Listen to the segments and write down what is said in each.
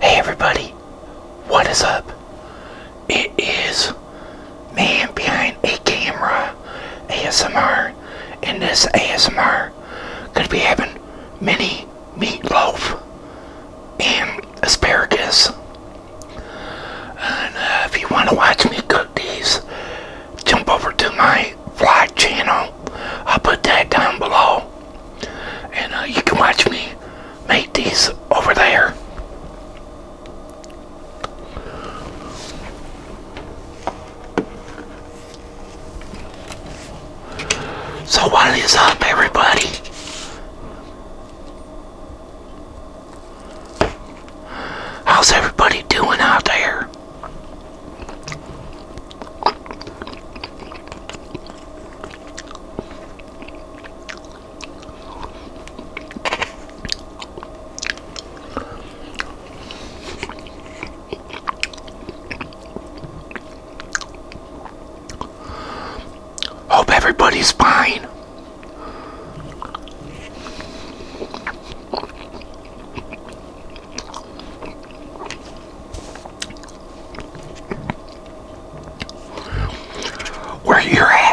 Hey everybody, what is up? It is Man Behind a Camera ASMR. and this ASMR, gonna be having mini meatloaf and asparagus. Uh, if you want to watch me cook these, jump over to my vlog channel I'll put that down below. And uh, you can watch me make these over there. So what is up everybody? How's everybody doing out there? Hope everybody's fine where you at.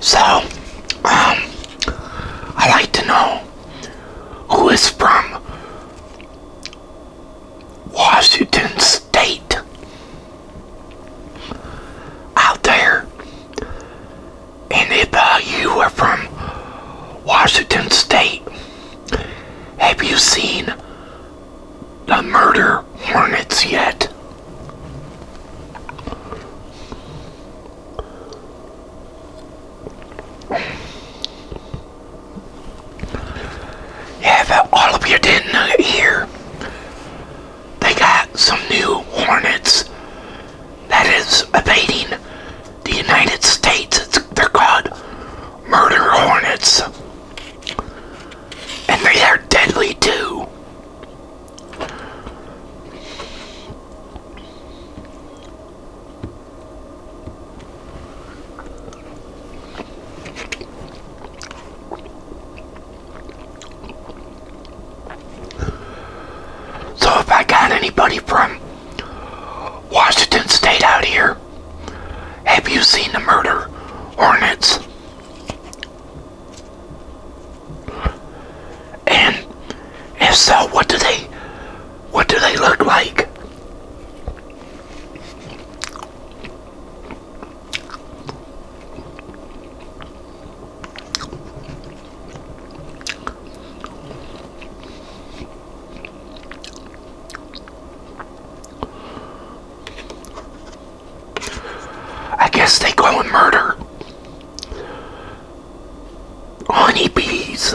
So, um, I like to know who is from Washington State. Out there. And if uh, you are from Washington State, have you seen the murder hornets yet? Yeah, if all of you didn't uh, hear, they got some new hornets that is evading the United States. they're called murder hornets. And they are deadly too. So if I got anybody from Washington State out here, have you seen the murder hornets? And if so, what do they what do they look like? I guess they go and murder honeybees.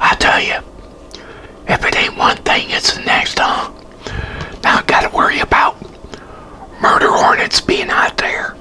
I tell you, if it ain't one thing, it's the next, huh? Now I gotta worry about murder hornets being out there.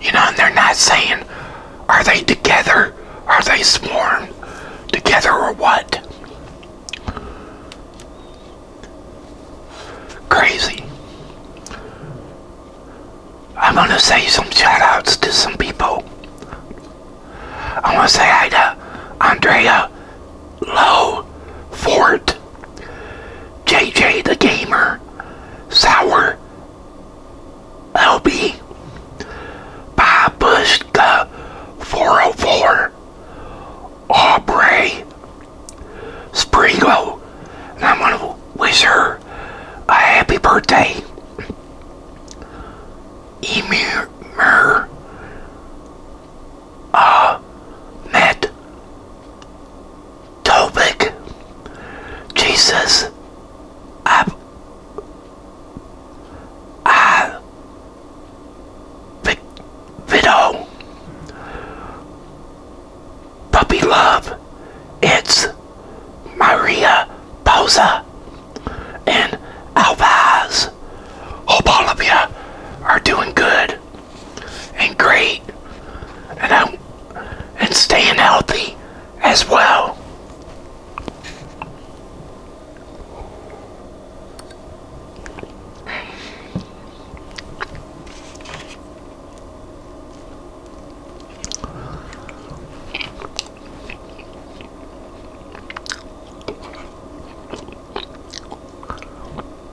You know, and they're not saying, are they together? Are they sworn together or what? Crazy. I'm going to say some shoutouts to some people. I want to say hi to Andrea Lowe Fort. JJ the Gamer, Sour, LB, Bob Bushka 404, Aubrey, Springo, and I'm going to wish her a happy birthday. Emir, uh, Matt, Topic. Jesus, Ab, Puppy Love, It's Maria Pausa, and Alvaz. Hope all of you are doing good and great and I'm and staying healthy as well.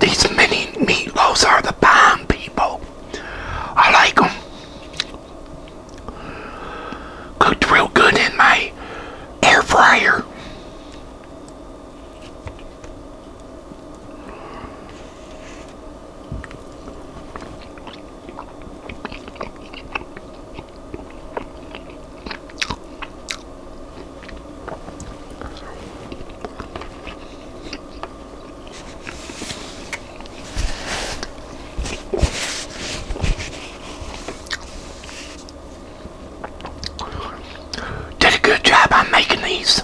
These mini meatloaves are the bomb, people. I like them. Cooked real good in my air fryer. Did a good job on making these.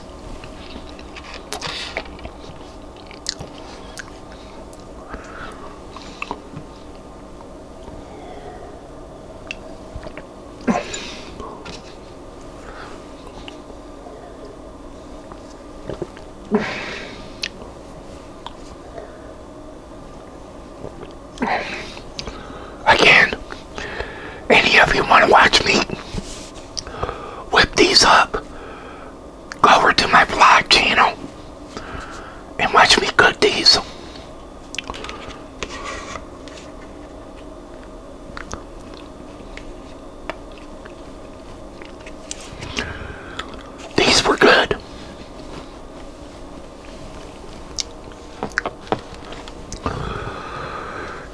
Again, any of you want to watch me whip these up, go over to my vlog channel and watch me cook these. These were good.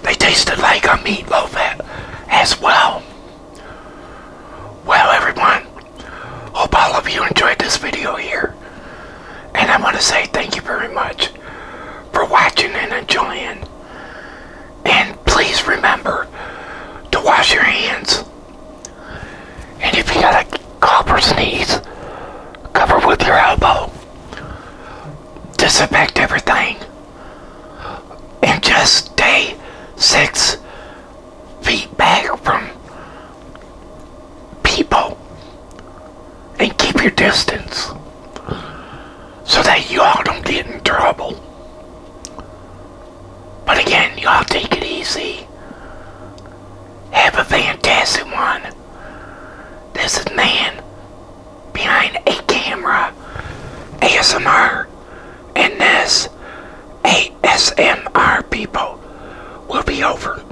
They tasted like a meatloaf as well. Well, everyone, hope all of you enjoyed this video here. And I want to say thank you very much for watching and enjoying. And please remember to wash your hands. And if you got a cough or sneeze, cover with your elbow. Disinfect everything. And just stay six feet back from people. And keep your distance so that you all don't get in trouble. But again, y'all take it easy. Have a fantastic one. This is Man Behind a Camera ASMR. And this ASMR people will be over.